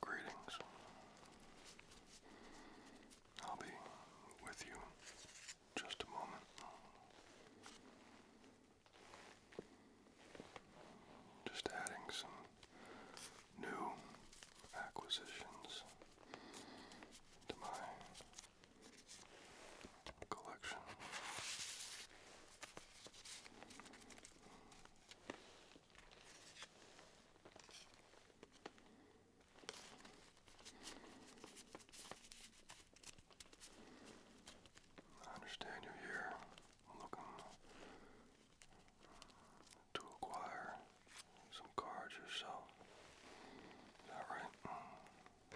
Greetings. I'll be with you just a moment. Just adding some new acquisitions to my collection. I understand you're here looking to acquire some cards yourself. Is that right? Well, you've,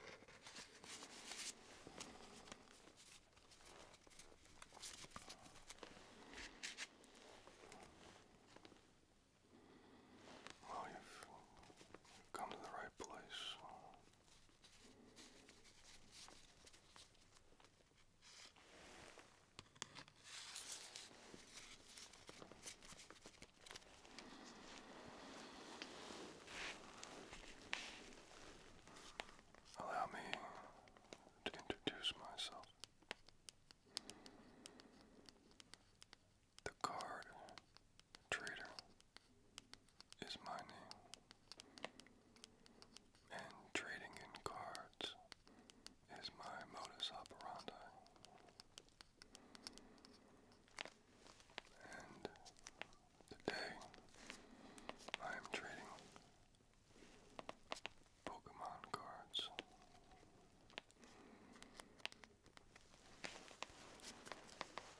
you've come to the right place. Allow me to introduce myself. The card trader is my name, and trading in cards is my modus operandi. And today I am trading Pokemon cards.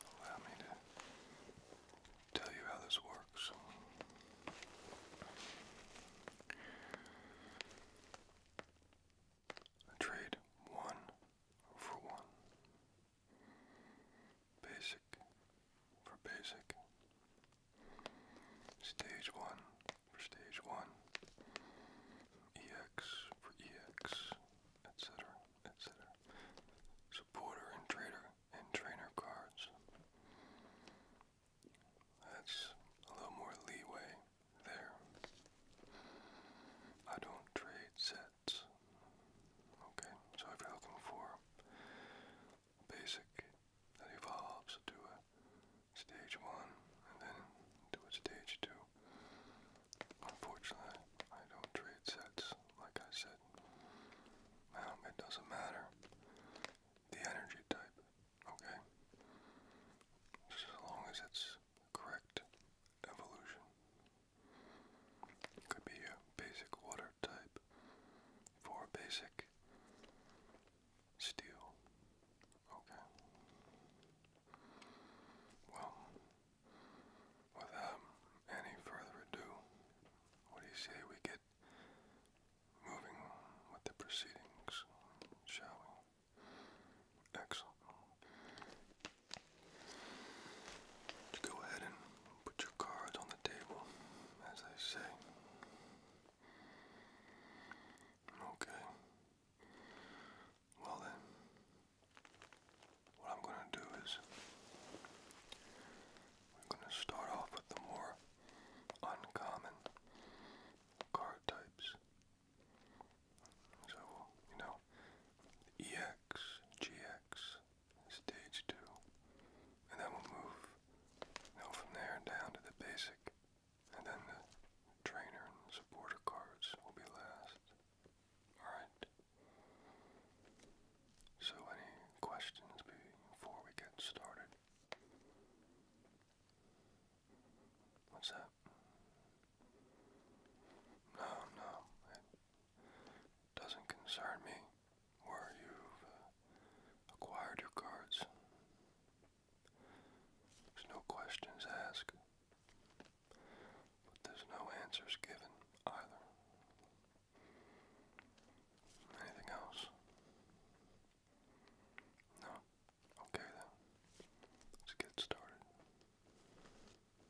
Allow me to tell you how this works trade one for one, basic for basic, stage one for stage one, EX for EX, etc., etc., supporter and trader and trainer cards. That's a little more leeway there. I don't trade sets. Okay, so if you're looking for basic that evolves to a stage one and then to a stage two, unfortunately, I don't trade sets like I said. it doesn't matter the energy type, okay? Just as long as it's correct evolution. Could be a basic water type for basic steel. Okay. Well, without any further ado, what do you say we get moving with the proceedings, shall we? Excellent go ahead and put your cards on the table, as I say. Okay. Well then, what I'm going to do is we're going to start off with the more uncommon card types. So, you know, EX, GX, stage 2, and then we'll move, you from there down to the basic, and then the trainer and supporter cards will be last. Alright. So, any questions before we get started? What's that? No, no, it doesn't concern me where you've uh, acquired your cards. There's no questions asked, but there's no answers given either. Anything else? No? Okay then. Let's get started.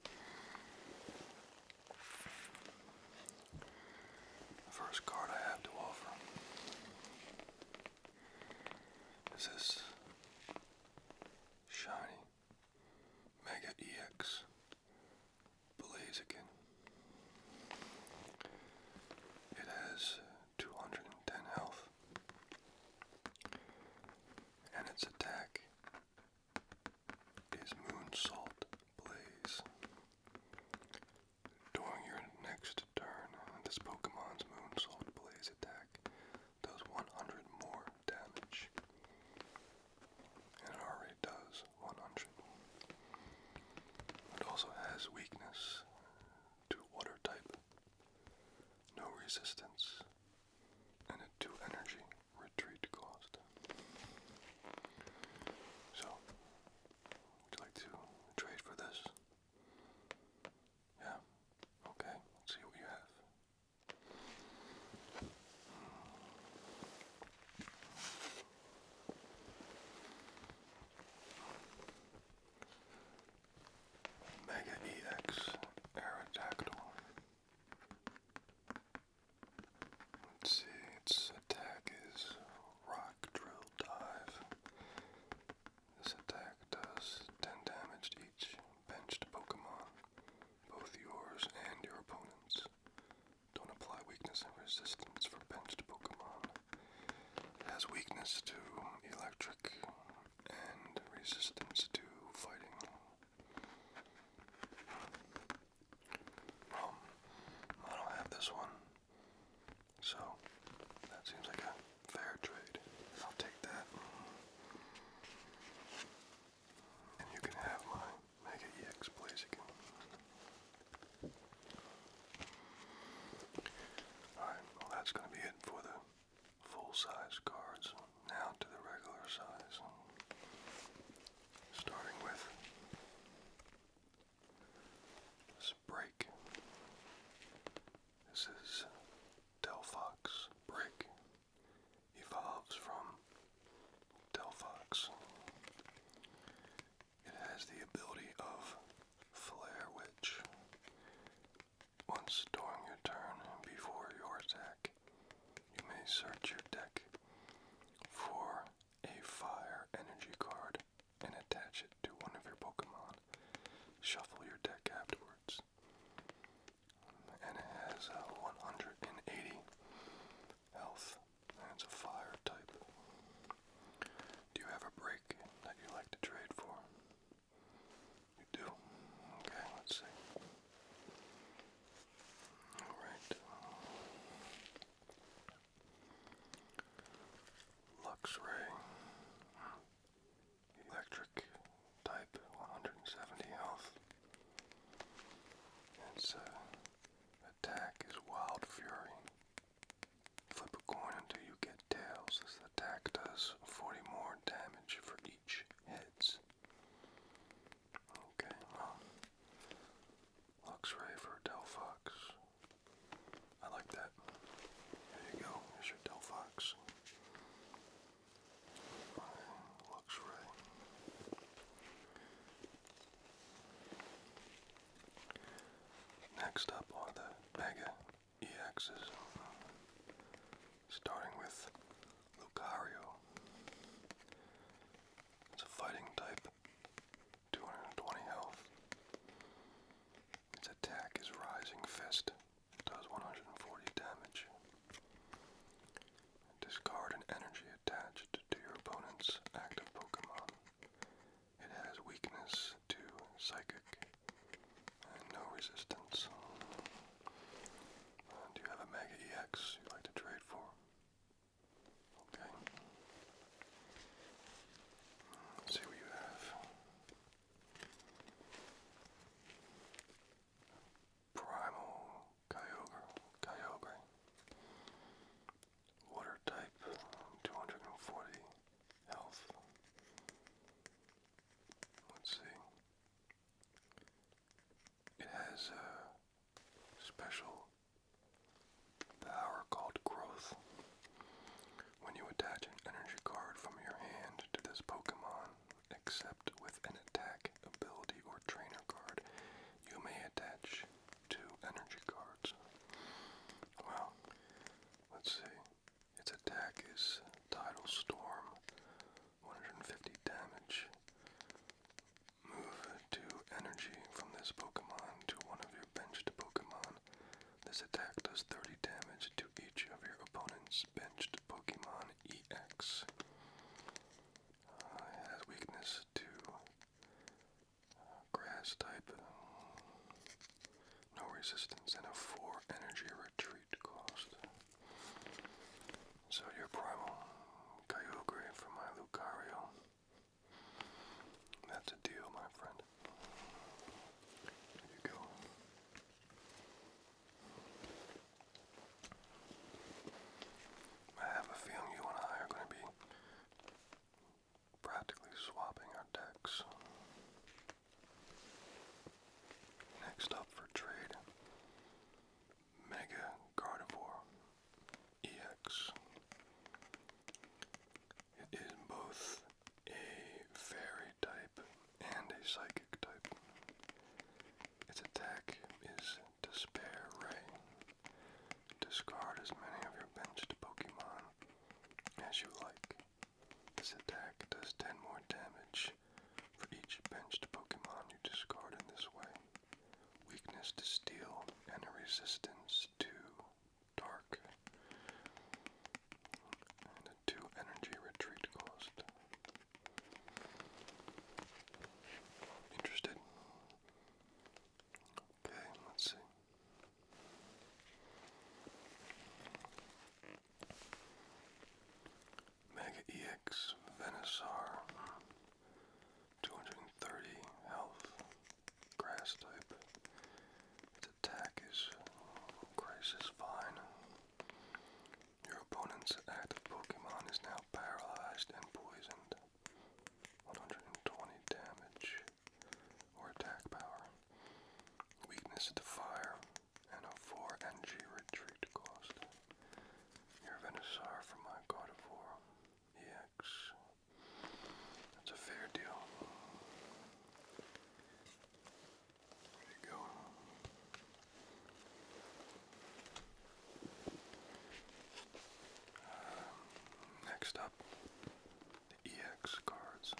The first card I have to offer is this shiny Mega EX Blaziken. It has 210 health, and its attack is Moon Salt Blaze. During your next turn, this Pokemon's Moon Salt Blaze attack does 100 more damage. And it already does 100. It also has weakness to water type, no resistance, and a two energy retreat cost. So, would you like to trade for this? Yeah. Okay. Let's see what you have. Mega EX Aerodactyl. Let's see, its attack is Rock Drill Dive. This attack does 10 damage to each benched Pokemon, both yours and your opponent's. Don't apply weakness and resistance for benched Pokemon. has weakness to electric and resistance to fighting. Um, I don't have this one, so that seems like a fair trade. I'll take that. And you can have my Mega EX plays Alright, well that's gonna be it for the full-size cards now to the regular size. Starting with this break. This is Delphox break. Evolves from Delphox. It has the ability of Flare Witch. Once during your turn before your attack, you may search your deck for a fire energy card and attach it to one of your Pokemon. Shuffle your deck afterwards. And it has a 180 health, and it's a fire type. Do you have a break that you like to trade for? You do? Okay, let's see. Alright. Luxray. Electric type 170 health. Its uh, attack is Wild Fury. Flip a coin until you get tails. This attack does 40 more damage for bandage heads. Okay, Luxray for Delphox. I like that. There you go, here's your Delphox. Luxray. Next up are the Mega EXs starting with Lucario. It's a fighting type, 220 health. Its attack is Rising Fist, does 140 damage. Discard an energy attached to your opponent's active Pokemon. It has weakness to Psychic and no resistance. Do you have a Mega EX you'd like to trade for? Okay. see what you have. Primal Kyogre. Kyogre. Water type, 240 health. Let's see. It has a special power called growth. When you attach an energy card from your hand to this Pokemon, except with an attack, ability, or trainer card, you may attach two energy cards. Well, let's see. Its attack is Tidal Storm, 150 damage. Move two energy from this Pokemon to one of your benched Pokemon. This attack does 30 damage to each of your opponent's benched Pokemon EX. Uh, has weakness to uh, grass type, no resistance, and a 4 energy retreat cost. So your primal Kyogre from my Lucario. That's a deal, my friend. There you go. I have a feeling you and I are going to be practically swapping our decks. Next up for trade Mega Gardevoir EX. It is both a fairy type and a psychic type. Its attack is Despair Ray. Discard as many of your benched Pokemon as you like. This attack does 10 more damage for each benched Pokemon you discard in this way. Weakness to steel and a resistance to dark. And a 2 energy retreat cost. Interested? Okay, let's see. Mega EX Venusaur. 230 health. Grass type. Its attack is Crisis Vine. Your opponent's active Pokemon is now paralyzed and poisoned. 120 damage or attack power. Weakness to fire and a 4 NG retreat cost. Your Venusaur for my God EX. That's a fair deal. There you go. Um, next up, the EX cards.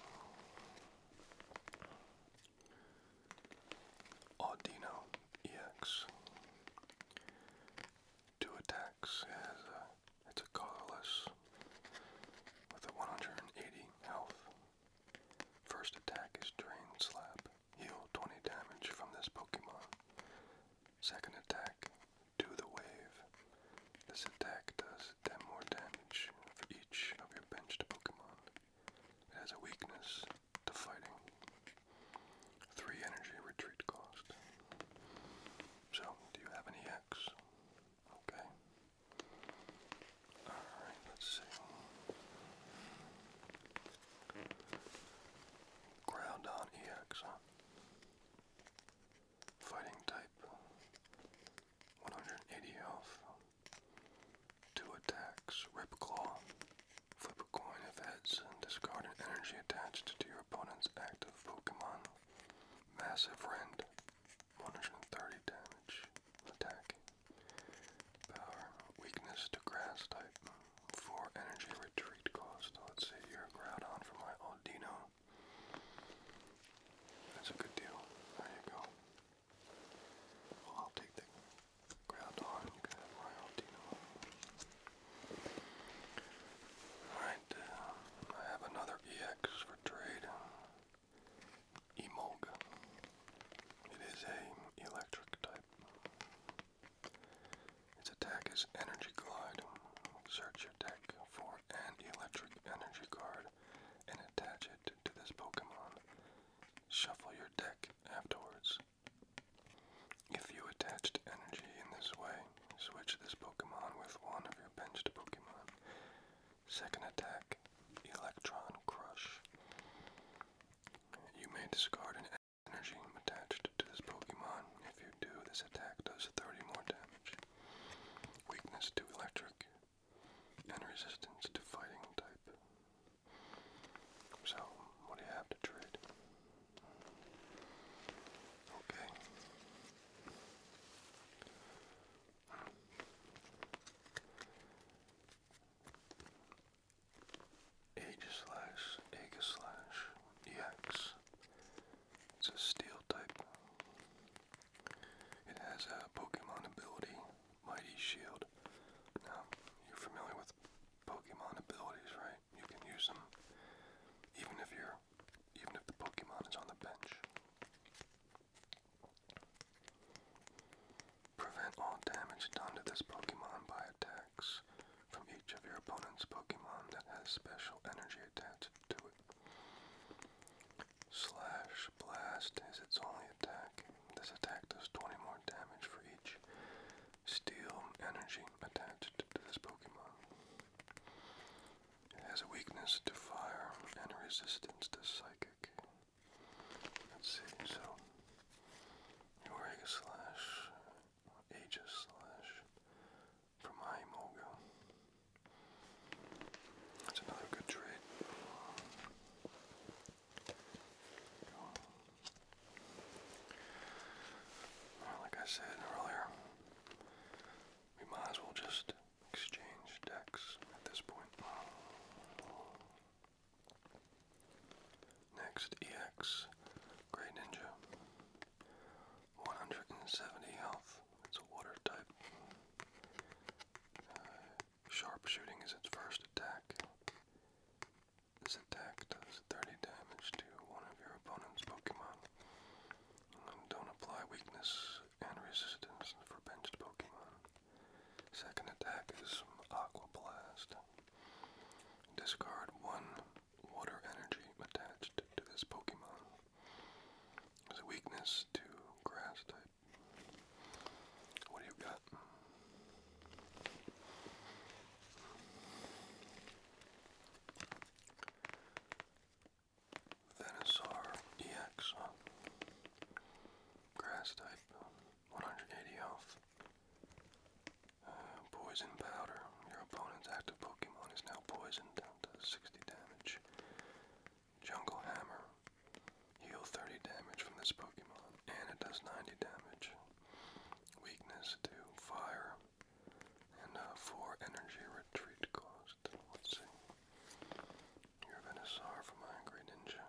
Audino. EX. Two attacks. it's a colorless with a 180 health. First attack is Drain Slap. Heal 20 damage from this Pokemon. Second attack, Do the Wave. This attack does 10 more damage for each of your benched Pokemon. It has a weakness to fighting. Three energy retreat cost. So, do you have any X? Okay. Alright, let's see. Ground on EX, Fighting type. 180 health. Two attacks. Rip claw. Flip a coin of heads and discard an energy attached to your opponent's active Pokemon. Massive Rend. 130 damage. Attack. Power. Weakness to grass type. 4 energy retreat cost. Let's see, you Groudon for my Aldino. That's a good deal. There you go. Uh, I have another EX for trade. Uh, Emolga. It is a electric type. Its attack is Energy Glide. Search your deck for an electric energy card and attach it to this Pokemon. Shuffle your deck afterwards. If you attached energy in this way, switch this Pokemon with one of your bench Pokemon. Second attack, Electron Crush. You may discard an energy attached to this Pokemon. If you do, this attack does 30 more damage. Weakness to electric and resistance to fighting type. So, what do you have to trade? Okay. Age slash, Aga slash, EX. It's a steel type. It has a Pokemon ability Mighty Shield. Now, you're familiar with Pokemon abilities, right? You can use them even if you even if the Pokemon is on the bench. Prevent all damage done to this Pokemon by attacks from each of your opponent's Pokemon that has special energy attached to it. Slash Blast is its only attack. This attack does 20 more damage for each steel energy attached to this Pokemon. It has a weakness to fire and a resistance to psychic. Let's see, so Eureka slash Aegis slash from Imoga. That's another good trade. Like I said earlier, we might as well just exchange decks at this point. Next, EX Grey Ninja. 170 health. It's a water type. Uh, Sharpshooting is its first attack. This attack does 30 damage to one of your opponent's Pokemon. don't apply weakness and resistance for benched Pokemon. Second attack is Aqua Blast. Discard one water energy attached to this Pokemon. There's a weakness to grass type what do you got? Venusaur EX, Grass type, 180 health. Uh, poison powder. Your opponent's active Pokemon is now poisoned down to 60 damage. Jungle hammer. Heal 30 damage from this Pokemon, and it does 90 damage. Weakness to fire, and uh, 4 energy retreat cost. Let's see. you Venusaur for my Greninja.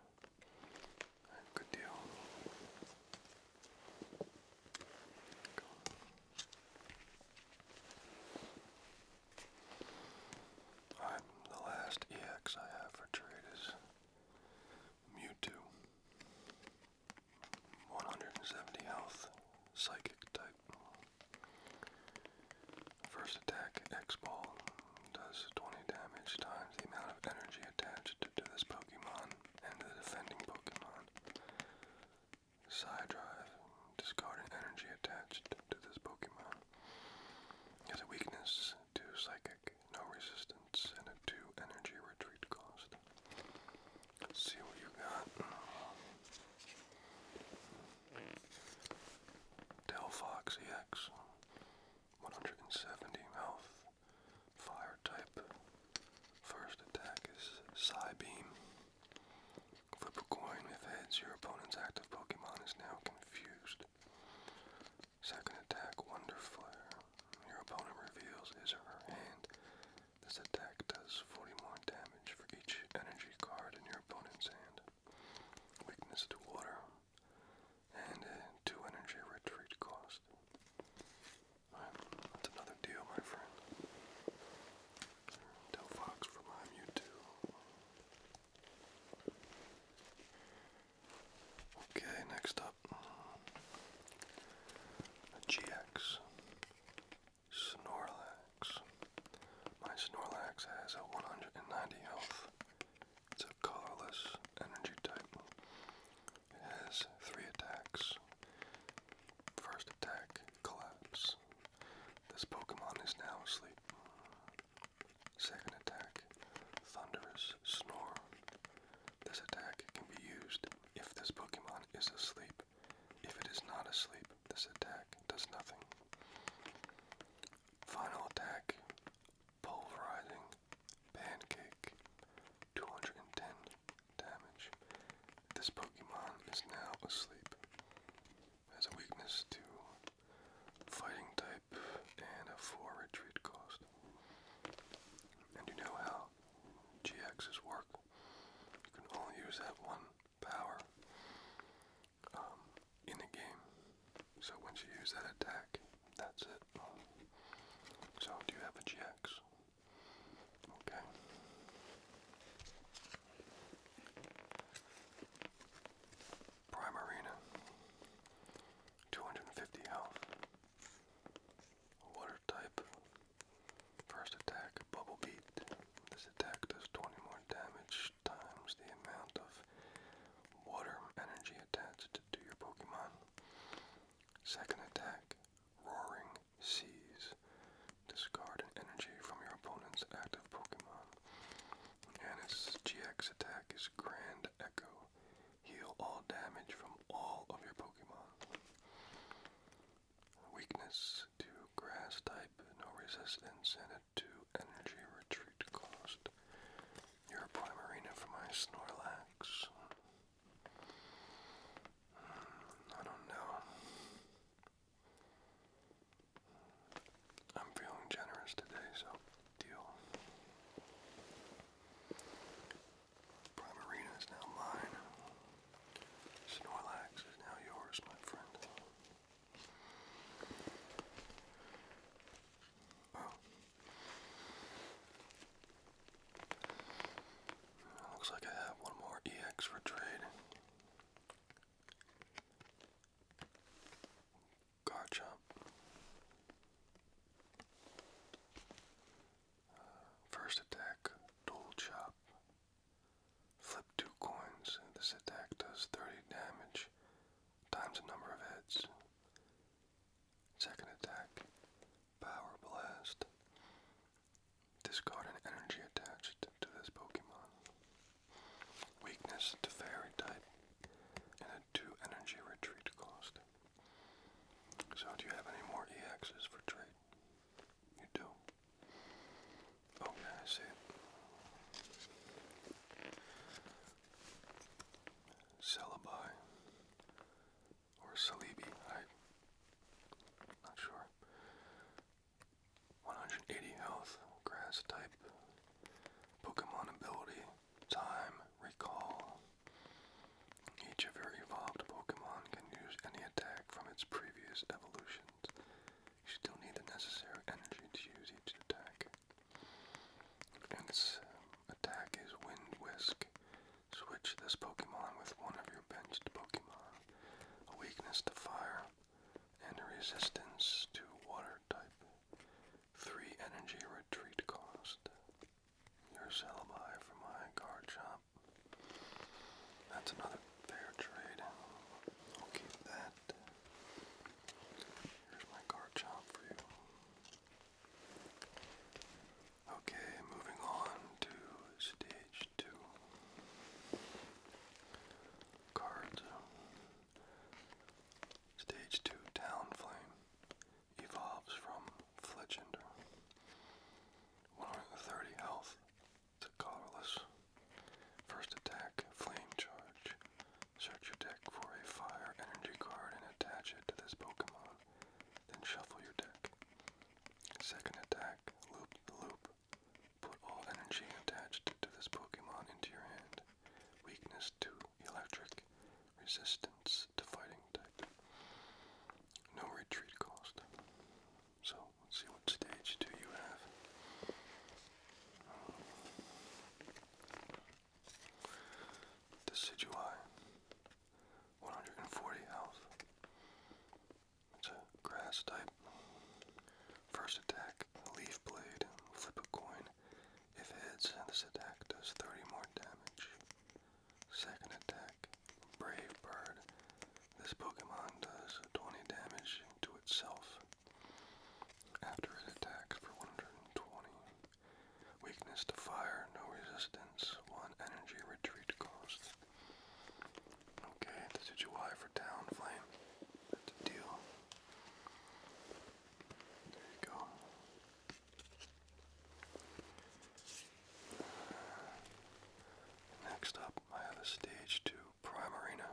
Right, good deal. Go. Alright, the last EX I have for trade Mewtwo. 170 health, psychic type. First attack, X Ball, does 20 damage times the amount of energy attached to this Pokemon and the defending Pokemon. Side Drive, discarding energy attached to this Pokemon. has a weakness to psychic no resistance, and a 2 energy retreat cost. see what you got. Delphox EX, 170 health, fire type. First attack is Psy Beam. Flip If heads, your opponent's active Pokemon is now confused. Second attack, Wonder Flare. Your opponent reveals his or her hand. This attack does 40 more damage for each energy card in your opponent's hand. Weakness to water. And 2 energy retreat cost. that's another deal, my friend. Tell Fox for my Okay, next up a GX Snorlax. My Snorlax has a 190 health. It's a colorless energy type. It has three attacks. First attack, collapse. This Pokemon is now asleep. Second attack, Thunderous Snore. This attack can be used if this Pokemon is asleep. If it is not asleep, this attack does nothing. Final attack, Pulverizing Pancake. 210 damage. This Pokemon is now asleep. Has weakness to Fighting type and a 4 retreat cost. And you know how GXs work. You can only use that one power um, in a game. So once you use that attack, that's it. So do you have a GX? Okay. Prime 250 health. Water type. First attack, Bubble Beat. This attack does 20 more damage times the amount of water energy attached to your Pokemon. Second attack, Roaring Seas. Discard an energy from your opponent's active Pokemon. And its GX attack is Grand Echo. Heal all damage from all of your Pokemon. Weakness to grass type, no resistance, and a 2 energy retreat cost. You're for my Snorlax. Hmm, I don't know. I'm feeling generous today, so deal. is now mine. Snorlax is now yours, my friend. Oh. Looks like I have one more EX for trade. Garchomp. Uh, first attack, Dual Chop. Flip two coins. This attack does 30 damage times the number of heads. Second attack, Power Blast. Discard an energy attached to this Pokemon. Weakness to Fairy type, and a 2 energy retreat cost. So, do you have any more EXs for trade? You do? Oh, I see it. or Celebi, I'm not sure. 180 health, grass type, Pokemon ability time, recall. Each of your evolved Pokemon can use any attack from its previous evolutions. You still need the necessary energy to use each attack. And its um, attack is Wind Whisk. Switch this Pokemon with one of your benched Pokemon. A weakness to fire and a resistance to water type. Three energy retreat cost. Your syllabi for my guard shop. That's another fair trade. I'll keep that. Here's my guard shop for you. Okay, moving on to stage two. Cards. Stage two, Town Flame evolves from Fletchender. 130 health to colorless. First attack, Flame Charge. Search your deck for a fire energy card and attach it to this Pokemon. Then shuffle your deck. Second attack, Loop the Loop. Put all energy attached to this Pokemon into your hand. Weakness to electric. Resistance to fighting type. No retreat cost. So, let's see what stage do you have. Decidueye. 140 health. It's a grass type. First attack, leaf blade, flip a coin, if hits, this attack does 30 more damage. Second attack, Brave Bird. This Pokemon does 20 damage to itself after it attacks for 120. Weakness to fire, no resistance, 1 energy retreat cost. Okay, that's a for Town Flame. deal. There you go. Next up, I have a stage two Primarina.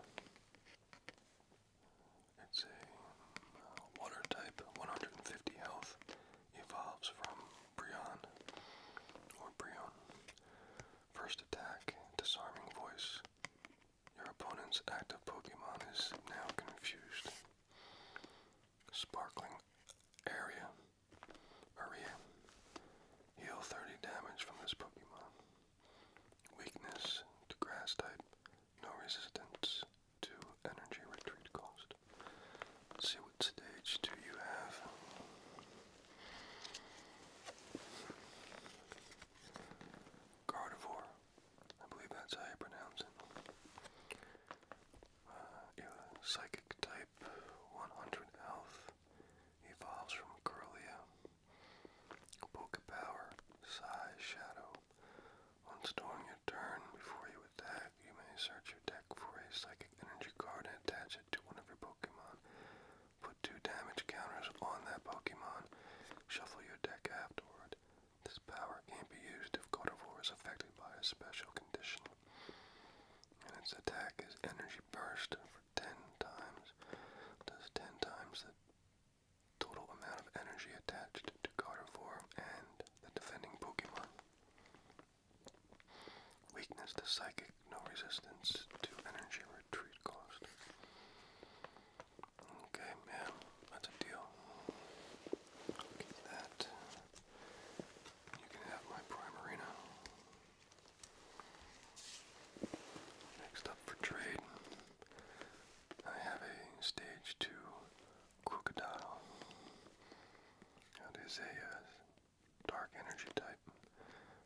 It's a uh, water type, 150 health, evolves from Brion or Brion. First attack, disarming voice. Your opponent's active Pokemon is now confused. Sparkling area. Area. Heal 30 damage from this Pokemon. Weakness to grass type. No resistance to energy retreat cost. see what stage do you have. Gardevoir. I believe that's how you pronounce it. Uh, psychic type 100 health evolves from Corellia. Poke power, size, shadow. Once during your turn, before you attack, you may search your deck for a psychic energy card and attach it to one of your Pokemon. Put two damage counters on that Pokemon. Shuffle your deck afterward. This power can't be used if Gardevoir is affected by a special condition. And its attack is energy burst for 10 times. Does 10 times the total amount of energy attached to Gardevoir and the defending Pokemon. Weakness to Psychic, no resistance to energy retreat cost. Okay, man, that's a deal that. You can have my Primarina. Next up for trade, I have a stage 2 Crocodile. It is a uh, dark energy type,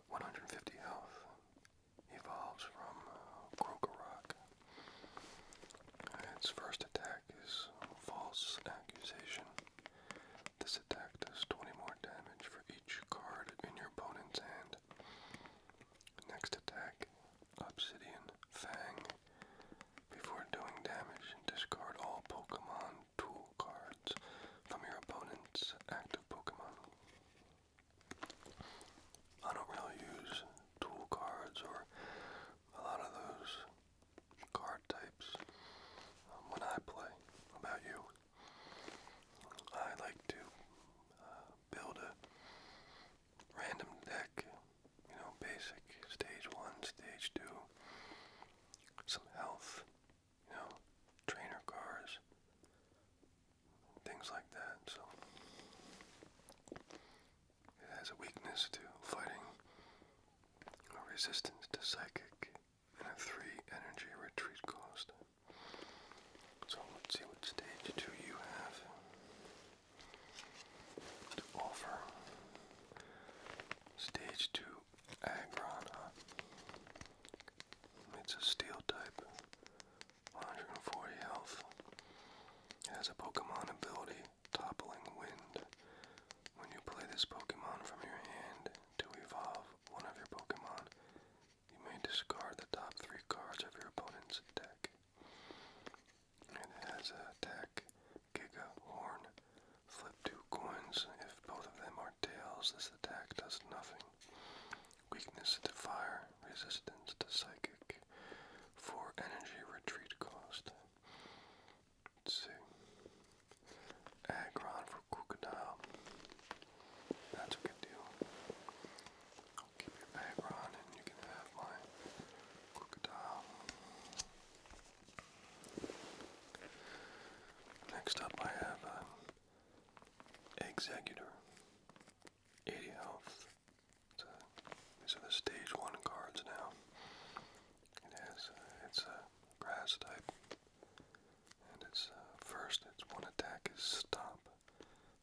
150 health. Evolves from uh, its first attack is False Accusation. This attack does 20 more damage for each card in your opponent's hand. Next attack, Obsidian Fang. Before doing damage, discard all Pokemon tool cards from your opponent's active Pokemon. I don't really use tool cards or a lot of those card types um, when I play. about you? I like to uh, build a random deck, you know, basic stage one, stage two, some health, you know, trainer cars, things like that. So it has a weakness to fighting a resistance to psychic and a 3 energy retreat cost. So let's see what stage 2 you have to offer. Stage 2 Agrana. It's a steel type, 140 health. It has a Pokemon ability toppling wind. When you play this Pokemon from your hand to evolve one of your Pokemon, you may discard the top three cards of your opponent's deck. It has an attack, Gigahorn. Flip two coins. If both of them are tails, this attack does nothing. Weakness to fire, resistance to psychic for energy retreat cost. Let's see. for Crocodile. That's a good deal. I'll keep your Aggron and you can have my Crocodile. Next up I have uh, Executor. 80 health, these are the stage one cards now. It uh, it's a grass type, and it's uh, first. Its one attack is stop.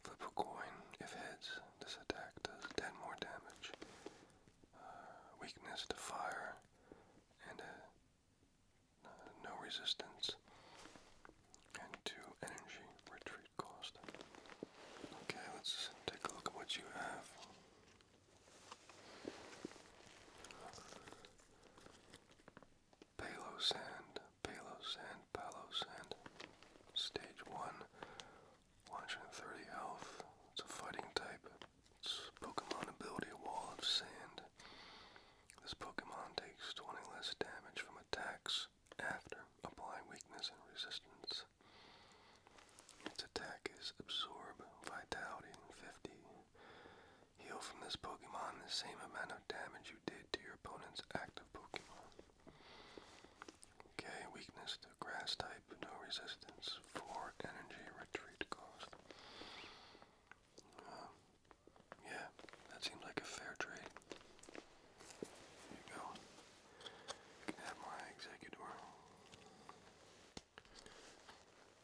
Flip a coin. If heads, this attack does ten more damage. Uh, weakness to fire, and no resistance, and to energy retreat. Okay, let's take a look at what you have. Palo sand, palo Stage one, 130 health. It's a fighting type. It's Pokemon ability Wall of Sand. This Pokemon takes 20 less damage from attacks after applying weakness and resistance. Its attack is Absorb Vitality 50. Heal from this Pokemon the same amount of damage you did to your opponent's active Pokemon. Okay, weakness to grass type, no resistance, 4 energy retreat cost. Um, yeah, that seems like a fair trade. There you go. Get my executor.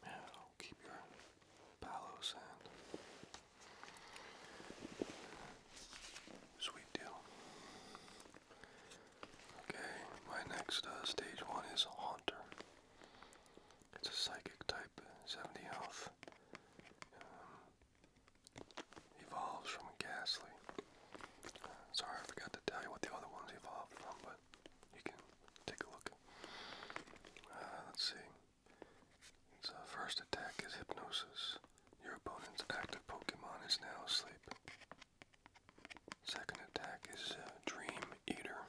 Yeah, keep your palo sand. Sweet deal. Okay, my next uh, stage one is a hunter. It's a psychic type, uh, 70 health. Um, evolves from Ghastly. Sorry, I forgot to tell you what the other ones evolved from, but you can take a look. Uh, let's see. Its uh, first attack is Hypnosis. Your opponent's active Pokemon is now asleep. Second attack is uh, Dream Eater.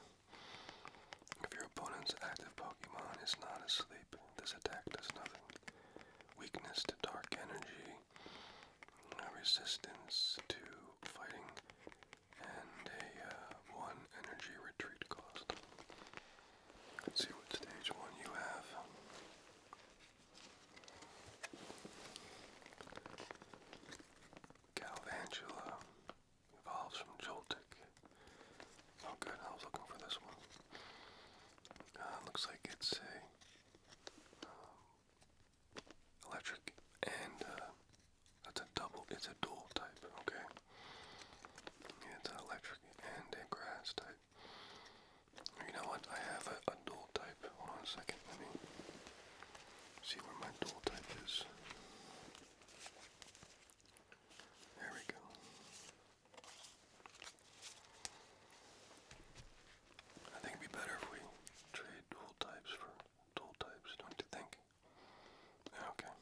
If your opponent's active Pokemon is not asleep, this attack does nothing. Weakness to Dark Energy a resistance to fighting, and a uh, one energy retreat cost. Let's see what stage one you have. Galvantula evolves from Joltik. Oh, good. I was looking for this one. Uh, looks like it's a um, electric, and uh, that's a double. It's a dual type. Okay, it's electric and a grass type. You know what? I have a dual type. Hold on a second. Let me see where my dual type is. There we go. I think it'd be better if we trade dual types for dual types, don't you think? Okay.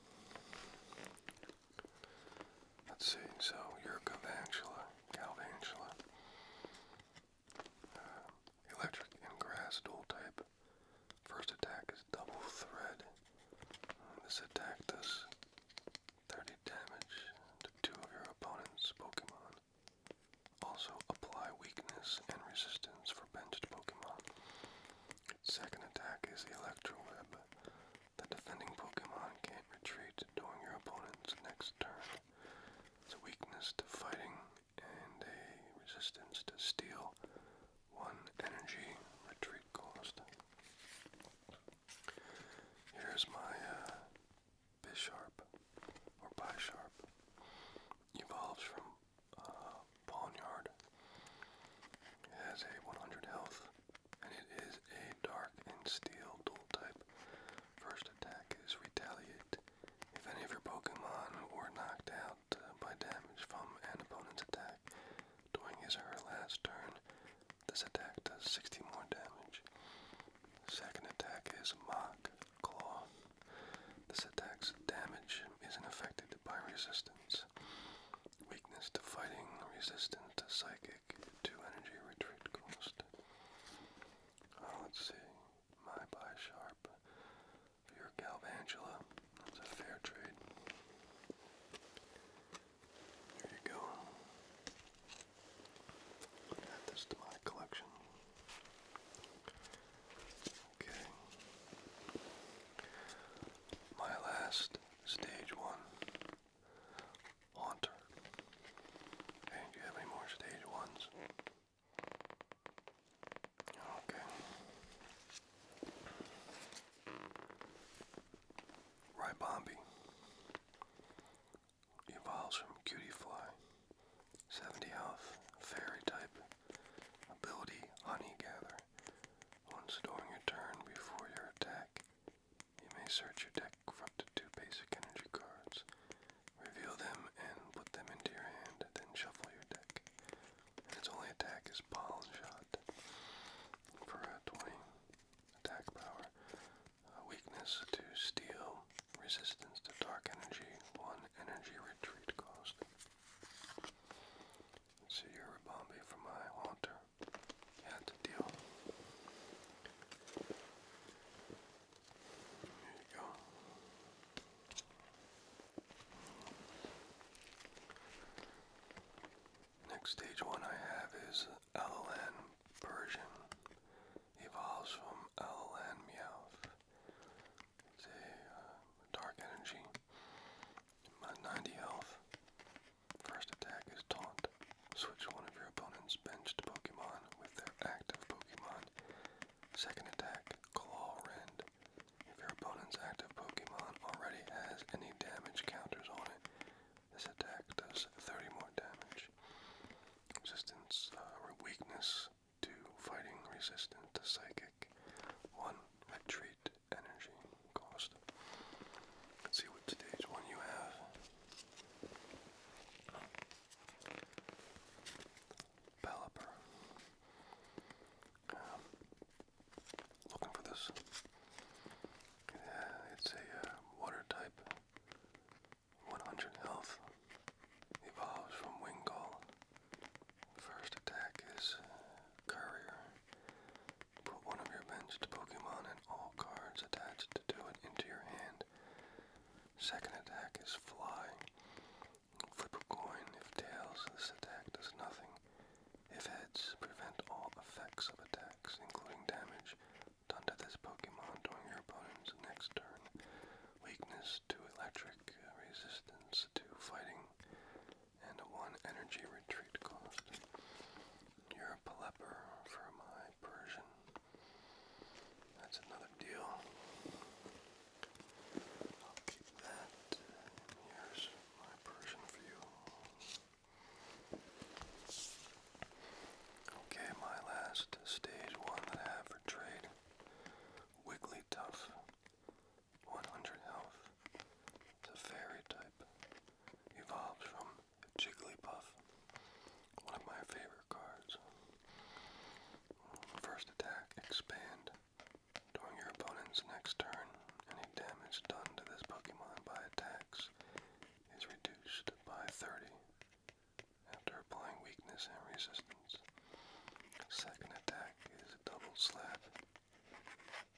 Let's see, so you're Galvantula, uh, electric and grass dual type. First attack is double thread. Um, this attack does 30 damage to two of your opponent's Pokemon. Also, apply weakness and resistance for benched Pokemon. Its second attack is Electro Web. The defending Pokemon can't retreat during your opponent's next turn. It's a weakness to fighting and a resistance to Steel. One energy retreat cost. Here's my uh, Bisharp or Bisharp evolves from uh, Poniard. has a 100 health, and it is a dark and steel dual type. First attack is Retaliate. If any of your Pokemon were knocked out uh, by damage from an opponent's attack during his or her last turn, this attack does 60 more damage. Second attack is Mock claw. This attack's damage isn't affected by resistance. Weakness to fighting, resistance to psychic, to energy retreat cost. Uh, let's see. My by sharp. Your Galvantula. That's a fair trade. There you go. Add this to my collection. Okay. My last stage one haunter. do you have any more stage ones? Okay. Ribombi evolves from Cutie Fly. 70 health, fairy type. Ability Honey Gather. Once during your turn before your attack, you may search your deck for two basic energy cards. Reveal them and put them into your hand, then shuffle your deck. And its only attack is Pollen Shot. For 20 attack power, Weakness to steel. Resistance to dark energy. 1 energy retreat cost. Let's see your Bombay for my altar. Had to deal. There you go. Next stage one I have is Alalan Persian evolves from Owl and Meowth. It's a uh, dark energy. 90 health. First attack is Taunt. Switch one of your opponent's benched Pokemon with their active Pokemon. Second attack, Claw Rend. If your opponent's active Pokemon already has any damage counters on it, this attack does 30 more damage. Resistance uh, or weakness to fighting resistant to psychic. One retreat energy cost. Let's see what today's one you have. Palliper. Um, looking for this. Yeah, it's a uh, water type. 100 health evolves from Wingull. First attack is uh, Courier. Put one of your benched Pokemon and all cards attached to it into your hand. Second attack is Fly. Flip a coin. If tails, this attack does nothing. If heads, prevent all effects of attacks, including damage done to this Pokemon during your opponent's next turn. Weakness to electric, uh, resistance to fighting, and 1 energy retreat cost. You're a Pelipper for my Persian. That's another deal. I'll keep that. here's my Persian for you. Okay, my last stage one Trade, Wigglytuff, 100 health, it's a fairy type, evolves from Jigglypuff, one of my favorite cards. First attack, expand. During your opponent's next turn, any damage done to this Pokemon by attacks is reduced by 30. After applying weakness and resistance, second attack is a double slap.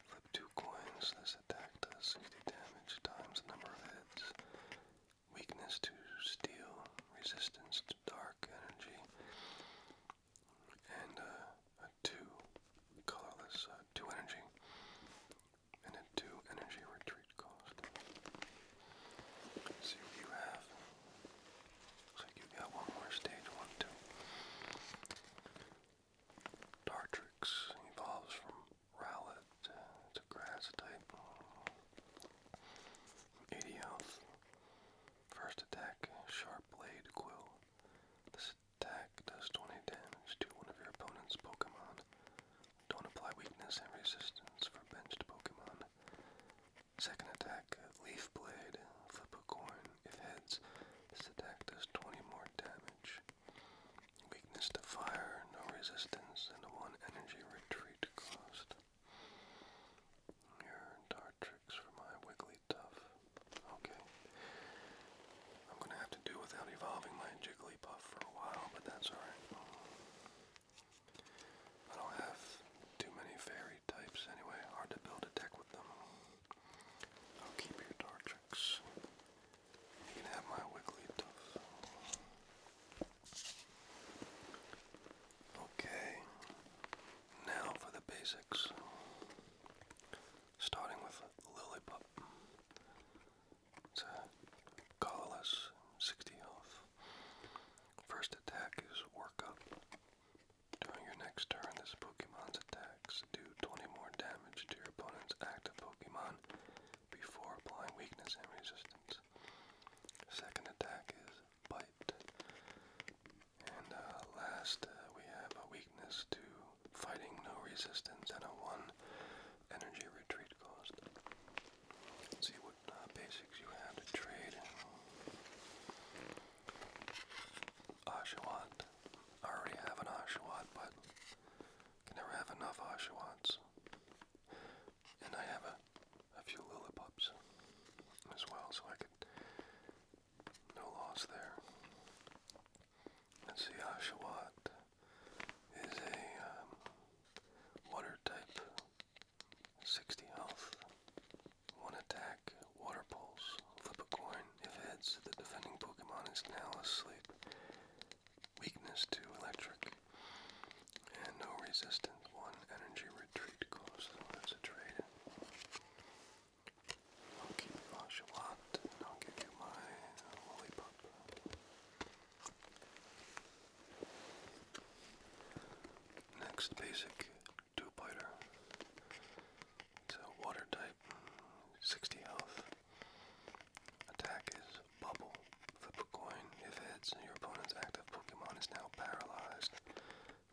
Flip two coins. This attack does 60 damage times the number of hits. Weakness to steel, resistance to dark energy, and uh, a two colorless uh, two energy, and a two energy retreat see what you have. Looks like you got one more stage, one, two. Dartrix evolves from Rowlet. It's grass type. 80 health. First attack, Sharp Blade Quill. This attack does 20 damage to one of your opponent's Pokemon. Don't apply weakness and resistance for benched Pokemon. Second attack, Leaf Blade. Flip a coin. If heads, this attack does 20 more damage. Weakness to fire, no resistance, and 1 energy retreat cost. Here, dart tricks for my Wigglytuff. Okay. I'm gonna have to do without evolving my Jigglypuff for a while, but that's alright. I don't have too many fairy types anyway. Hard to build a deck with them. I'll keep your Dartrix. You can have my Wigglytuff. Okay, now for the basics. Starting with Lillipup. It's a 60 health. First attack is Work Up. During your next turn, this Pokemon's attacks do 20 more damage to your opponent's active Pokemon before applying weakness and resistance. Second attack is Bite. And uh, last, uh, we have a weakness to fighting, no resistance, and a 1 energy retreat cost see what uh, basics you have to trade. Oshawott. I already have an Oshawott, but can never have enough Oshawotts. And I have a, a few Lillipups as well, so I could. No loss there. let see, Oshawott is a um, water type 60 health. 1 attack, water pulse. Flip a coin. If heads, the defending Pokemon is now asleep. Weakness to electric. And no resistance. 1 energy retreat cost. So a trade. I'll keep you Oshawott, and I'll give you my lollipop. Next basic two-plater. water type, 60 health. Attack is bubble. Flip a coin. If heads, your opponent's active Pokemon is now paralyzed.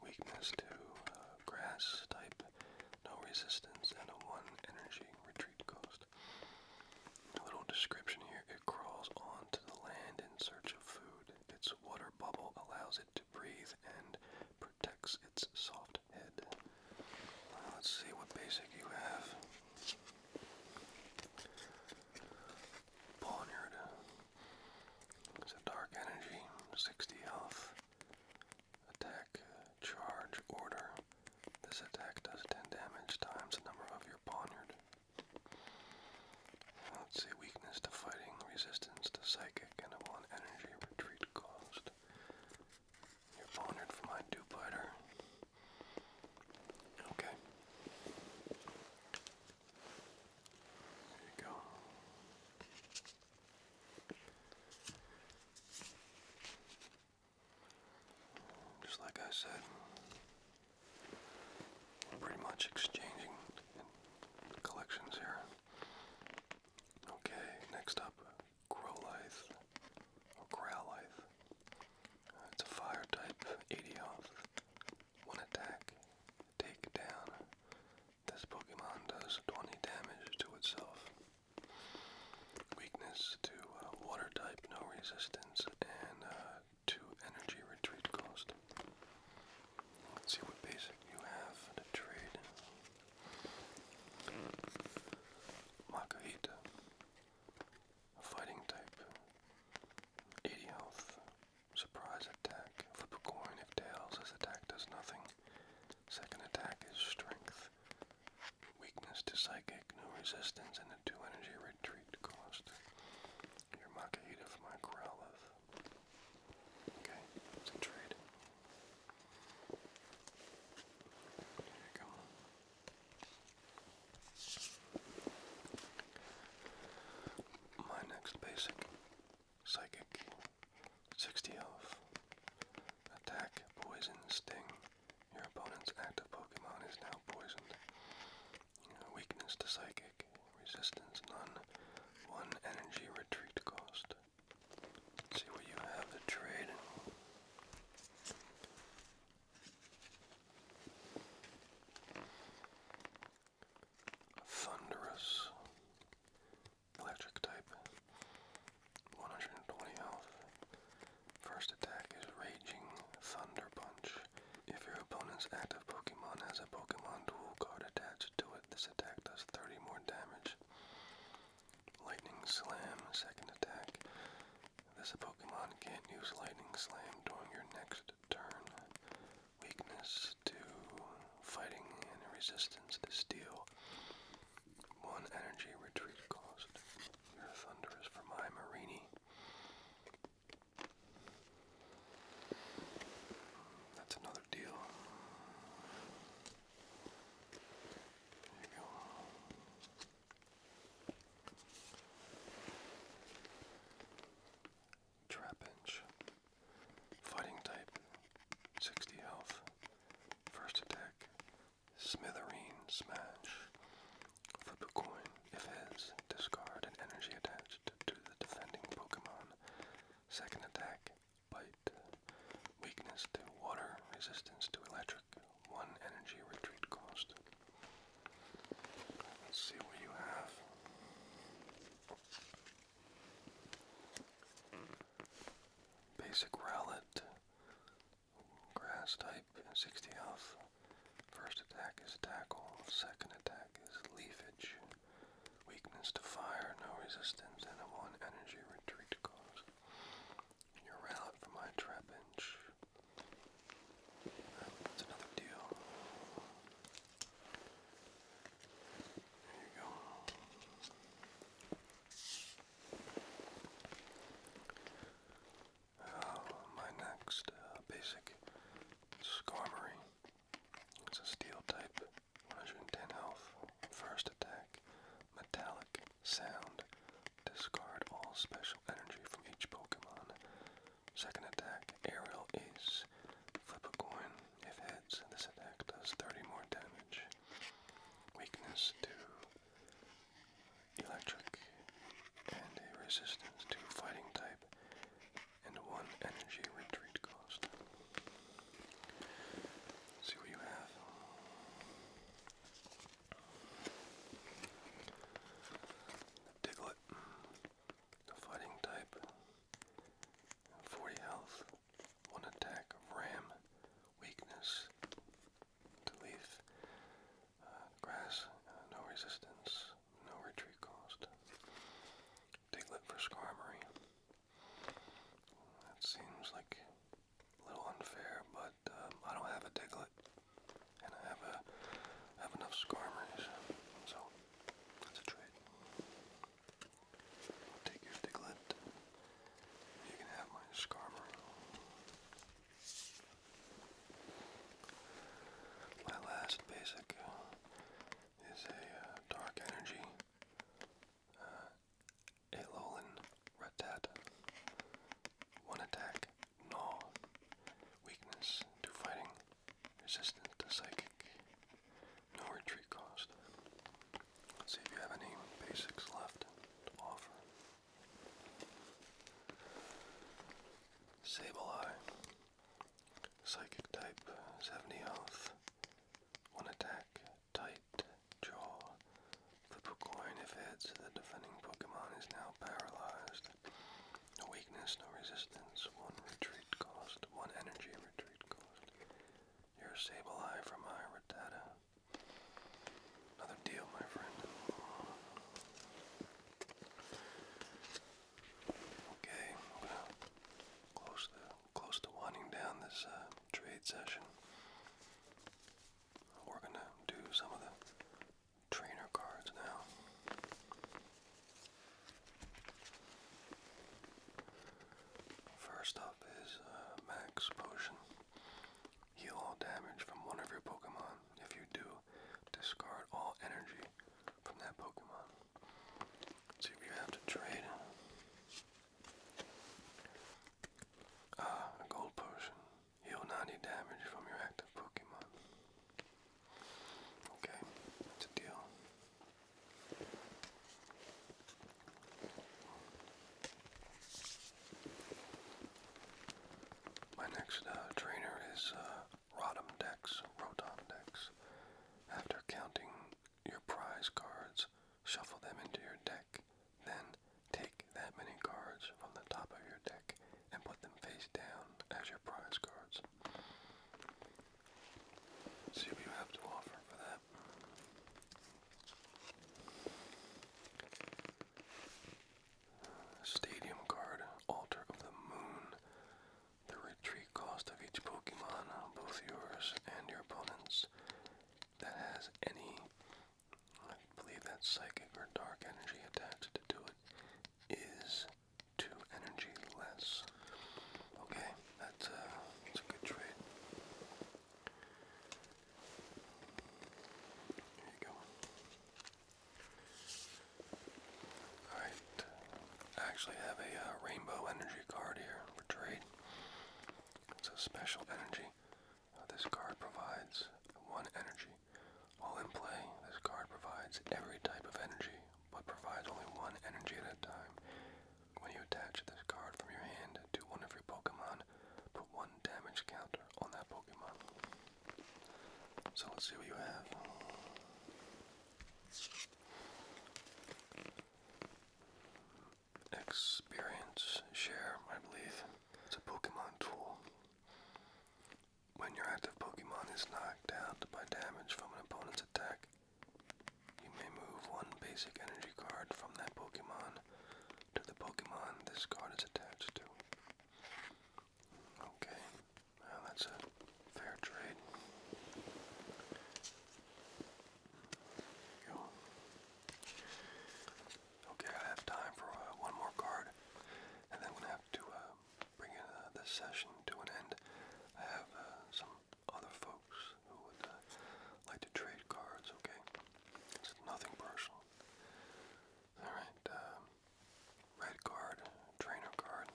Weakness to uh, grass type, no resistance, and a 1 energy retreat cost. A little description here it crawls onto the land in search of food. Its water bubble allows it to breathe and protects its soft head. let's see what basic you have. Poniard. It's a dark energy, 60 health. Attack, charge, order. This attack does 10 damage times the number of your poniard. Let's see, weakness to fighting, resistance to psychic, and upon energy retreat cost. You're pondered for my dupiter. Okay. There you go. Just like I said, pretty much exchanging collections here. Okay, next up, Growlithe or uh, it's a fire type, 80 off, one attack, take down. This Pokemon does 20 damage to itself. Weakness to uh, water type, no resistance, and uh, to energy retreat cost. Let's see what basic you have to trade. Makahita, a fighting type, 80 health, surprise attack, flip a coin if tails, this attack does nothing. Second attack is strength, weakness to psychic, no resistance, and a 2 energy retreat cost your Makahita for my Growlithe. Okay, it's a trade. There you go. My next basic psychic 60 off. Attack, poison, sting. Your opponent's active Pokemon is now poisoned. Weakness to psychic. Resistance none. One energy retreat cost. see what you have to trade. Thunderous. Electric type. 120 health. First attack is Raging Thunder Punch. If your opponent's active Pokemon has a Pokemon dual card attached to it, this attack does 30 more damage. Lightning Slam, second attack. This Pokemon can't use Lightning Slam during your next turn. Weakness to fighting and resistance to steel. One energy retreat cost. Your Thunder is for my that's another deal. you go. Trapinch. Fighting type. 60 health. First attack. Smithereen smash. Flip a coin. If heads, discard an energy attached to the defending Pokemon. Second attack, bite. Weakness to water, resistance to electric. One energy retreat cost. Let's see what you have. Basic Rowlet, grass type, 60 health, First attack is tackle, second attack is leafage. Weakness to fire, no resistance, and a one energy retreat cost. You're out for my trapinch. That's another deal. There you go my next uh, basic Skarmory. It's a steel type, 110 health, first attack, metallic, sound, discard all special energy from each Pokemon. Second attack, aerial ace, flip a coin, if heads, this attack does 30 more damage. Weakness to electric and a resistance to fighting type and one energy retreat cost. see what you have. Diglett, fighting type, 40 health, 1 attack of ram, weakness, to leaf, grass, no resistance, no retreat cost. Diglet for Skarmory. That seems like a little unfair, but um, I don't have a Diglett, and I have a I have enough Skarmories, so that's a trade. take your Diglett. You can have my Skarmory. My last basic is a uh, dark energy uh, Alolan Rattata. One attack, Gnaw. Weakness to fighting, resistant to psychic. No retreat cost. see if you have any basics left to offer. Sableye, Psychic type, 70 health, 1 attack, tight, jaw. Flip a coin if heads, the defending Pokemon is now paralyzed. No weakness, no resistance, 1 retreat cost, 1 energy retreat cost. Your eye from my Rattata. Another deal, my friend. Okay, i to close the close to winding down this uh, trade session. We're gonna do some of the trainer cards now. First up is uh, Max Potion. Heal all damage from one of your Pokemon. If you do, discard all energy from that Pokemon. So you have to trade uh, a gold potion. Heal 90 damage from your active Pokemon. Okay, it's a deal. My next uh, trainer is uh, Rotom decks, Rotom decks. After counting your prize cards, shuffle them into your deck. Then take that many cards from the top of your deck and put them face down as your prize cards. See what you have to offer for that. Stadium card, Altar of the Moon. The retreat cost of each Pokemon, both yours and your opponent's, that has any, I believe that's psychic or dark energy attached to it, is two energy less. Okay, that's uh, a good trade. There you go. Alright, I actually have a uh, rainbow energy card here for trade. It's a special energy. Uh, this card provides one energy. While in play, this card provides every type of energy, but provides only one energy at a time. When you attach this card from your hand to one of your Pokemon, put one damage counter on that Pokemon. So let's see what you have. Experience share, I believe. It's a Pokemon tool. When your active Pokemon is knocked out by damage from an opponent's attack, you may move one basic energy card from that Pokemon to the Pokemon this card is attached to. Okay, well, that's a fair trade. Okay, I have time for uh, one more card, and then i have to uh, bring uh, this session to an end. I have some other folks who would like to trade cards. Okay, it's nothing personal. All right. Um, Red card, trainer card.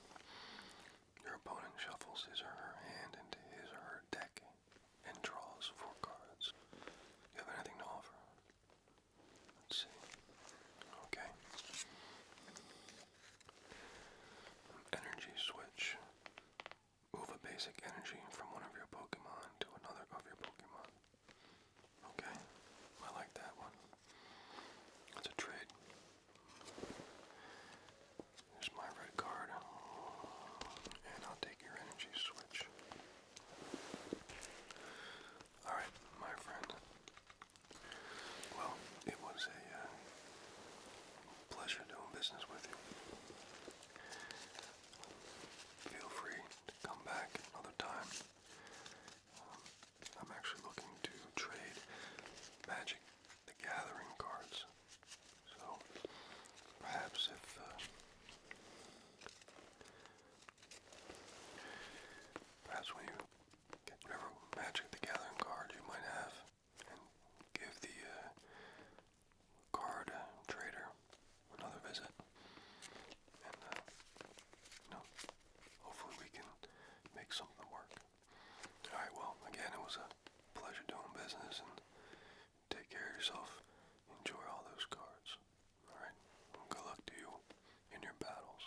Your opponent shuffles his or her hand into his or her deck and draws four cards. you have anything to offer? Let's see. Okay. Energy switch. Move a basic energy from one of your Pokemon to another of your Pokemon. Okay, I like that one. That's a trade. Here's my red card, and I'll take your energy switch. Alright, my friend. Well, it was a uh, pleasure doing business with you. Feel free to come back another time. Um, I'm actually looking to trade Magic the Gathering cards. So perhaps if uh, perhaps when you get whatever Magic the Gathering card you might have give the uh, card uh, trader another visit and hopefully we can make something work. All right, well, again, it was a pleasure doing business, and take care of yourself. Enjoy all those cards. All right, good luck to you in your battles.